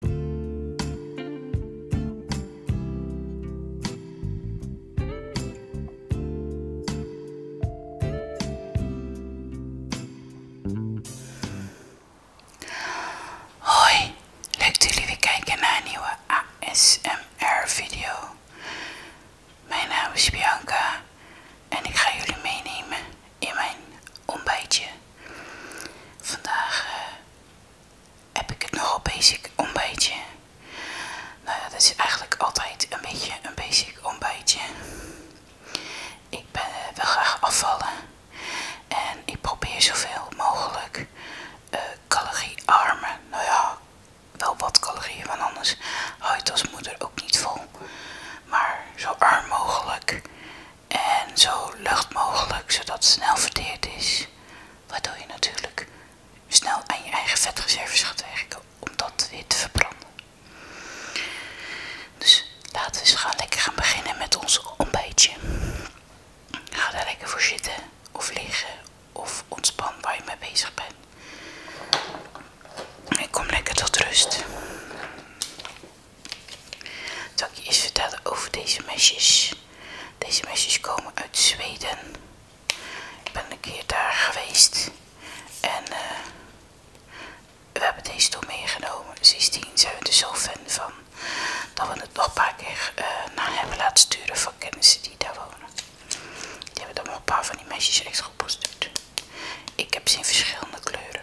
Hoi, leuk dat jullie weer kijken naar een nieuwe ASMR video. Mijn naam is Bianca en ik ga jullie meenemen in mijn ontbijtje. Vandaag eh, heb ik het nogal basic ontbijtje. Nou ja, dat is eigenlijk altijd een beetje een basic ontbijtje. Ik ben, eh, wil graag afvallen en ik probeer zoveel mogelijk uh, caloriearme, nou ja, wel wat calorieën, want anders hou je het als moeder ook niet vol. Maar zo arm mogelijk en zo lucht mogelijk, zodat het snel verdeerd is. Waardoor je natuurlijk snel aan je eigen vetreserves gaat werken om dat weer te verbranden. Dus laten we gaan lekker gaan beginnen met ons ontbijtje. Ga daar lekker voor zitten of liggen of ontspan waar je mee bezig bent. Ik kom lekker tot rust. Zal ik je eens vertellen over deze mesjes. Deze mesjes komen uit Zweden. Ik ben een keer daar geweest. En eh, we hebben deze toen meegenomen. Sindsdien zijn we er zo fan van. Dat we het nog een paar keer eh, naar hebben laten sturen van kennissen die daar wonen. Die hebben dan een paar van die mesjes extra opgestuurd. Ik heb ze in verschillende kleuren.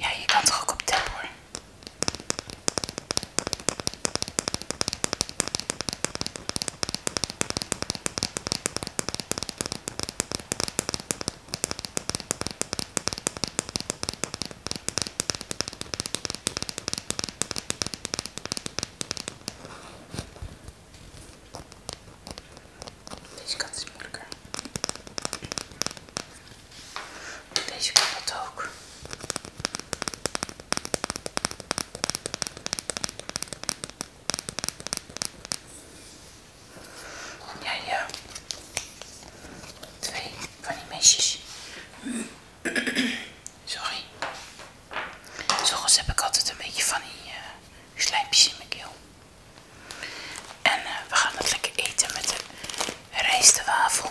Ja, je kan toch ook op tap hoor. Deze kant is moeilijker. Deze kan dat ook. Ja, ja. Twee van die mesjes. Sorry. Zorgens heb ik altijd een beetje van die eh, slijmpjes in mijn keel. En eh, we gaan het lekker eten met de rijstwafel.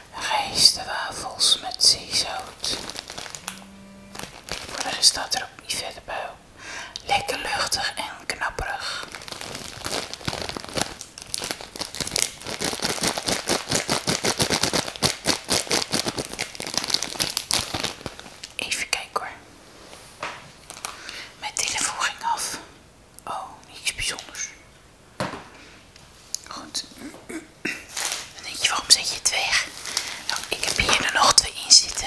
Rijstenwafels met zeezout. Voor de rest staat er ook niet verder bij. Lekker luchtig en knapperig. Even kijken hoor. Mijn telefoon ging af. Oh, niets bijzonders. Goed. En denk je, waarom zet je het weg? Nou, ik heb hier er nog twee in zitten.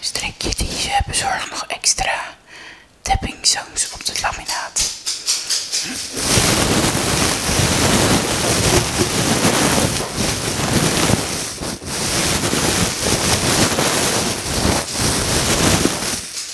Strikje dus eh, bezorgt nog extra tappingzangs op het laminaat.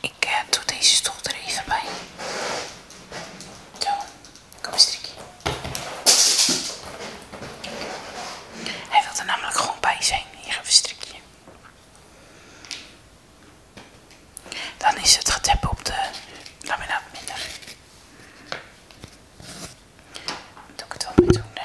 Ik eh, doe deze stoel er even bij. Zo, kom eens strikje. Hij wil er namelijk gewoon bij zijn. Hier even strikje. Dan is het getep op de laminaat minder. doe ik het wel met zo'n uh,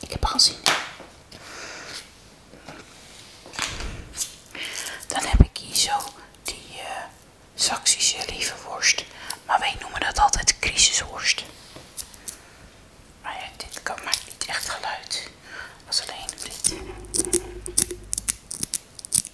Ik heb al gezien. Dan heb ik hier zo die eh, Saksische lieve worst. Maar wij noemen dat altijd crisisworst. Maar ja, dit kan maar niet echt geluid. Als alleen dit.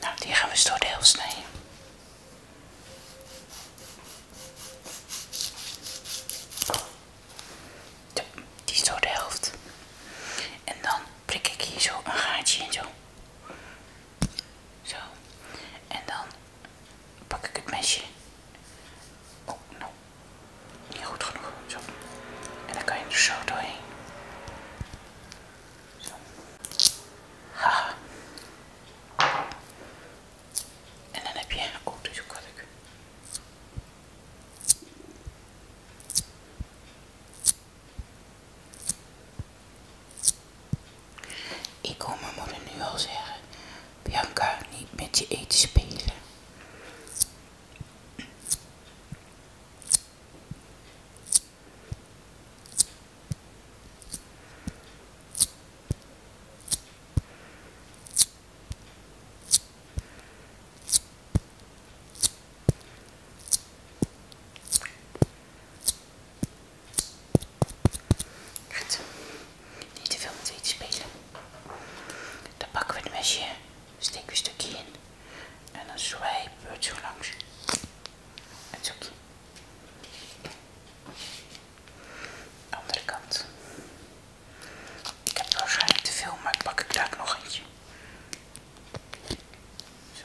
Nou, die gaan we de helft snijden. Ja, die is door de helft. En dan prik ik hier zo een gaatje in zo. Zo. En dan pak ik het mesje. Oh, nou. Niet goed genoeg. Zo. En dan kan je er zo doorheen. Zo. Haha. En dan heb je... Oh, dit is ook wat ik kom mijn moeder nu al zeggen, Bianca, niet met je eten spelen. Goed. Niet te veel met iets spelen. Dan pakken we het mesje, steken we een stukje in en dan zwijpen we het zo langs. En zoekje. Andere kant. Ik heb waarschijnlijk te veel, maar ik pak ik daar nog eentje. Zo.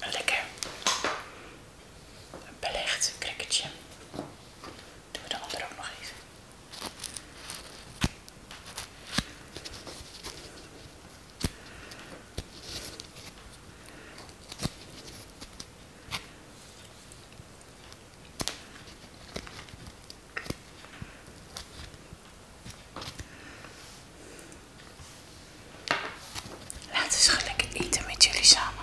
Een lekker belegd cricketje. Doen we de andere ook nog eens. Laten we gelijk eten met jullie samen.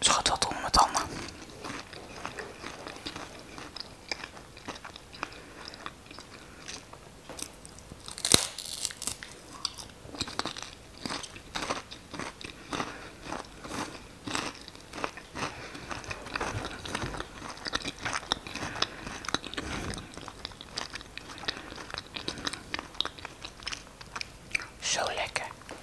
Schat wat onder mijn tanden. Zo lekker.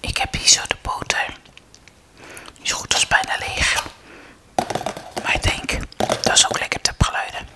Ik heb hier zo de boter is goed, dat bijna leeg. Maar ik denk dat is ook lekker geluiden.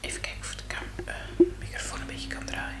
Even kijken of de uh, microfoon een beetje kan draaien.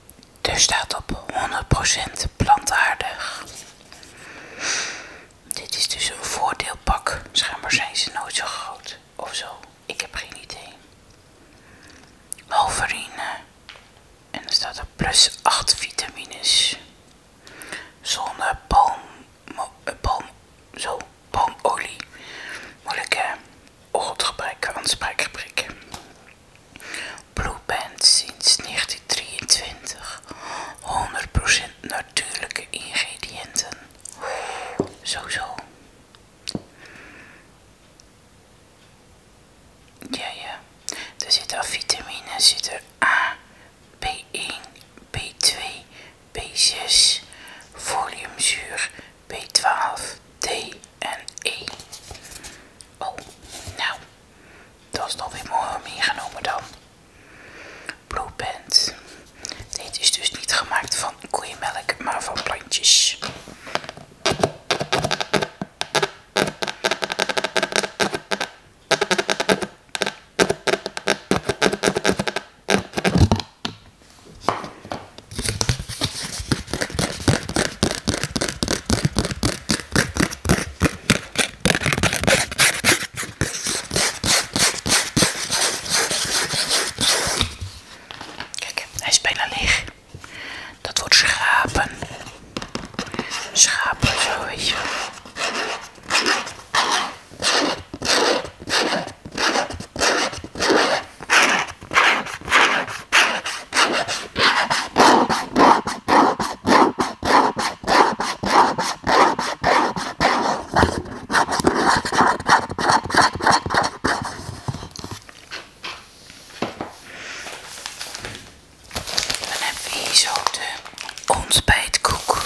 Dus staat op 100% plantaardig. Dit is dus een voordeelpak. Schijnbaar zijn ze nooit zo groot of zo. Ik heb geen idee. Wolverine. En er staat er plus 8 vitamines. Zonder palm, eh, palm, zo, palmolie. Moeilijk hè? Oortgebrek, Blue sinds 1923. 100% natuurlijke ingrediënten. Zo zo. Ja, ja. Er zitten al vitamine, A, B1, B2, B6, foliumzuur, B12, D en E. Oh, nou, dat is nog weer mooi meegenomen dan. Blue Band. Dit is dus niet gemaakt van koeienmelk, maar van plantjes. Kijk, hij is bijna leeg. Dat wordt schrapen. Schrapen, zo weet je. Dan hebben hier zo de ontbijtkoek.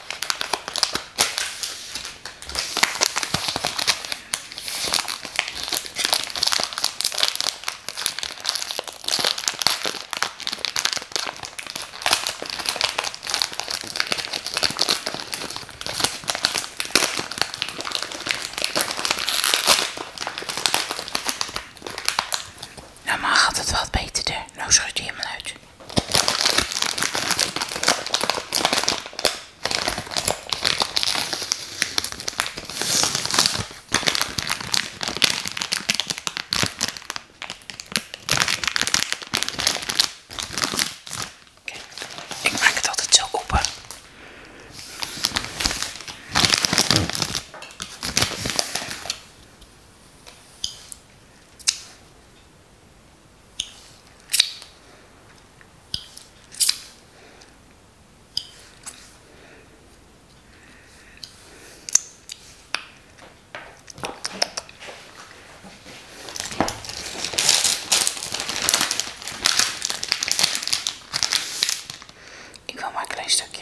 Nou, maar gaat het wat beter, hè? Nou schud je helemaal uit. Ik maak het altijd zo open. Ik wil maar klein stukje.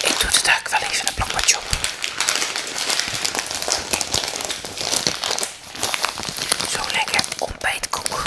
Ik doe de duik wel even een plakbadje op. Zo lekker ontbijtkoek.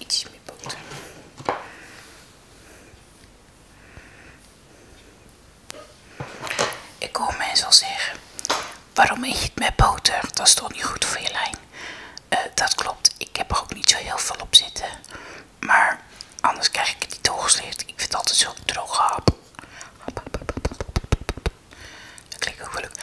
Ietsje meer boter. Ik hoor mensen al zeggen, waarom eet je het met boter? Dat is toch niet goed voor je lijn? dat klopt, ik heb er ook niet zo heel veel op zitten. Maar anders krijg ik het niet doorgesleerd. Ik vind het altijd zo droog. hap. Dat klinkt ook wel leuk.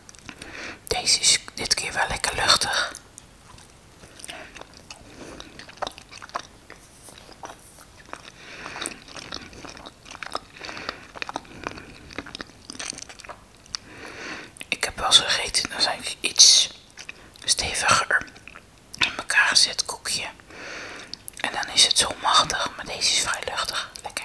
Deze is dit keer wel lekker luchtig. Ik heb wel zo gegeten, dan zijn ze iets steviger in elkaar gezet koekje. En dan is het zo machtig, maar deze is vrij luchtig. Lekker.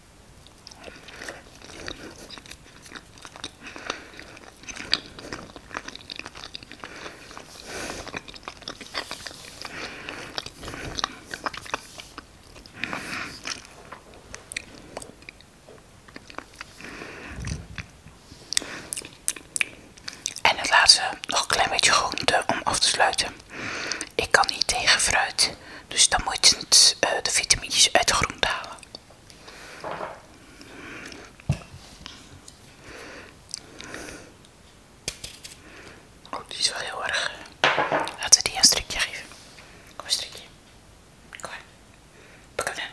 En het laatste nog een klein beetje groente om af te sluiten. Ik kan niet tegen fruit, dus dan moet je het, eh, de vitamines uit de groente halen. Oh, die is wel heel erg. Laten we die een strikje geven. Kom een strikje. Kom maar. Pak hem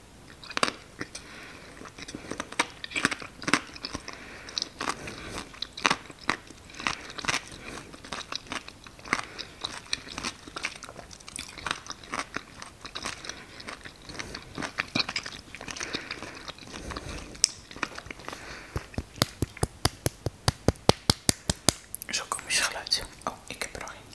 Zo kom komisch geluid. Oh, ik heb er al een.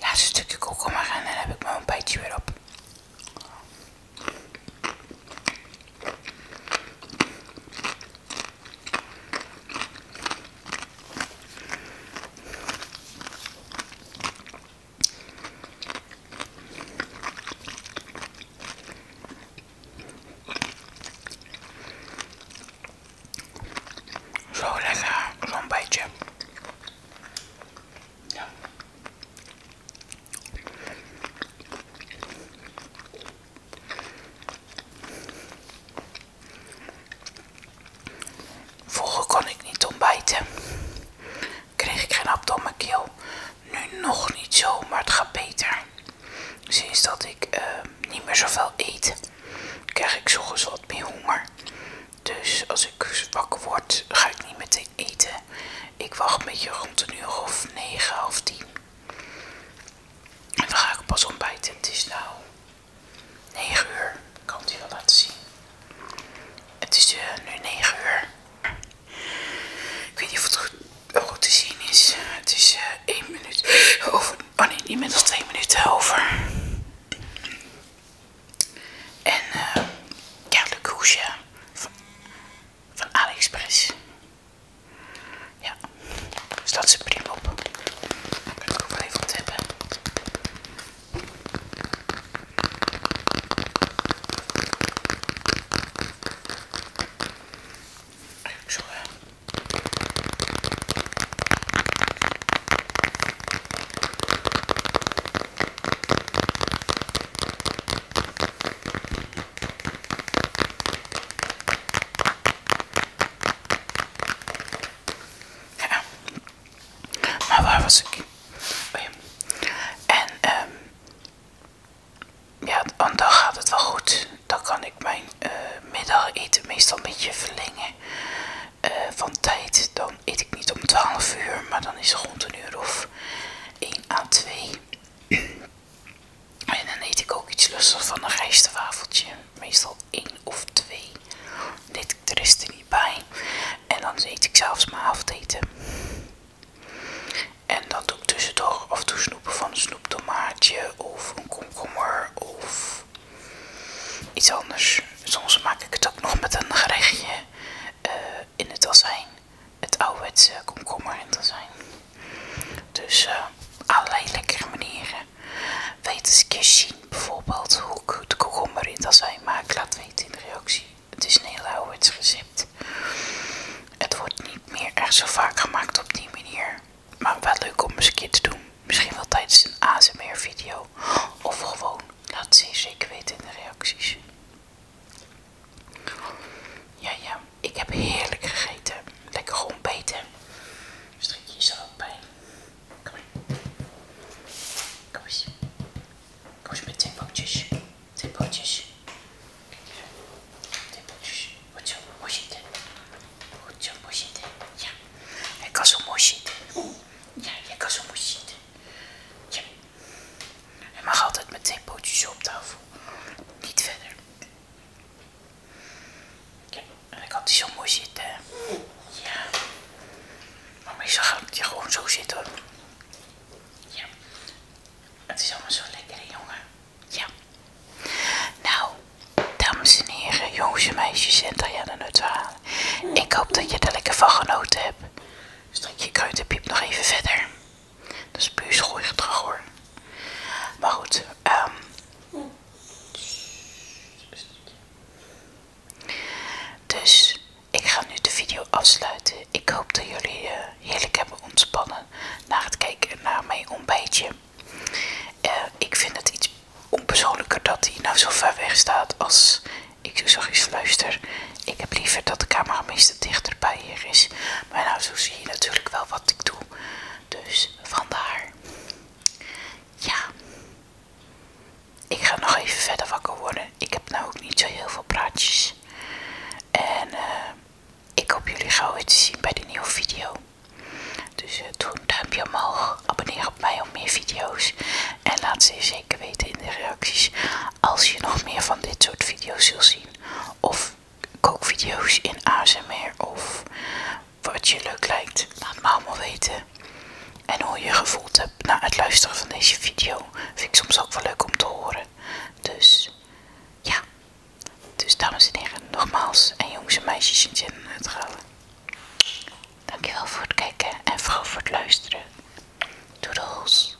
Laatste stukje komkommer en dan heb ik mijn ontbijtje weer op. Zo lekker, zo'n beetje. Ja. Vroeger kon ik niet ontbijten. Kreeg ik geen hap nu nog niet zo, maar het gaat beter. Sinds dat ik ehm, niet meer zoveel eet, krijg ik zochtens wat meer honger. Dus als ik wakker word, ga ik niet meteen eten. Ik wacht een beetje rond de uur of negen of tien. En dan ga ik pas ontbijten. Het is nou 9 uur. Ik kan het je wel laten zien. Het is eh, nu 9 uur. Ik weet niet of het goed, goed te zien is. Het is uh, eh, 1 minuut over. Oh nee, niet minder dan 2 minuten over. En uh, ja, de koesje van, van AliExpress. Ja, dus dat is prima op. Daar kan ik ook wel even wat hebben. Zo. Ja. Maar waar was ik? En um, ja, dan gaat het wel goed. Dan kan ik mijn eh, middageten meestal een beetje verlengen eh, van tijd. Dan eet ik niet om 12 uur, maar dan is het rond een uur of 1 à 2. en dan eet ik ook iets lustigs van een rijstwafeltje. Meestal 1 of 2. dit ik er niet bij. En dan eet ik zelfs mijn avondeten. En dan doe ik tussendoor toe snoepen van een snoeptomaatje of een komkommer of iets anders. Soms maak ik het ook nog met een gerechtje eh, in het azijn. Het ouderwetse komkommer in het azijn. Dus eh, allerlei lekkere manieren. Weet eens een keer zien bijvoorbeeld hoe ik de komkommer in het azijn maak. Laat weten in de reactie. Het is een heel ouderwets recept. Het wordt niet meer echt zo vaak gemaakt op die manier. Maar wel leuk om eens een keer te doen. Misschien wel tijdens een ASMR video. Of gewoon, laat ze zeker weten in de reacties. Ja, ja. Ik heb heerlijk gegeten. Lekker gewoon Strikje je er ook bij. Kom maar. Kom eens met Weźmy typo gdzieś, typo gdzieś. hoe gdzieś. Hoćo, možete. Hoćo, možete. Ja. ik zo mooi zitten. Ja, zo mooi zitten. Ja. Hij mag altijd met twee pootjes op tafel. Niet verder. Ja, en ik had die zo mooi zitten. Ja. Maar meestal gaat ik je gewoon zo zitten. Ja. Het is allemaal zo lekker, jongen. Ja. Nou, dames en heren, jongens en meisjes en Diana Neutrale. Ik hoop dat je er lekker van genoten hebt. Dus dat je piep nog even verder. Dat is puur terug hoor. Maar goed, ehm dus ik ga nu de video afsluiten. Ik hoop dat jullie eh, heerlijk hebben ontspannen na het kijken naar mijn ontbijtje. Eh, ik vind het iets onpersoonlijker dat hij nou zo ver weg staat als ik zo zachtjes fluister. Ik heb liever dat de camera dichter dichterbij hier is. Maar nou, zo zie je natuurlijk wel wat ik doe. Dus vandaar. Ja. Ik ga nog even verder wakker worden. Ik heb nou ook niet zo heel veel praatjes. En eh, ik hoop jullie gauw weer te zien bij de nieuwe video. Dus eh, doe een duimpje omhoog, abonneer op mij om meer video's. En laat ze zeker weten in de reacties als je nog meer van dit soort video's wil zien. Of video's in ASMR of wat je leuk lijkt. Laat me allemaal weten. En hoe je gevoeld hebt na het luisteren van deze video. Vind ik soms ook wel leuk om te horen. Dus ja, dus dames en heren, nogmaals en jongens en meisjes en zinnen het galen. Dankjewel voor het kijken en vooral voor het luisteren. Doedels!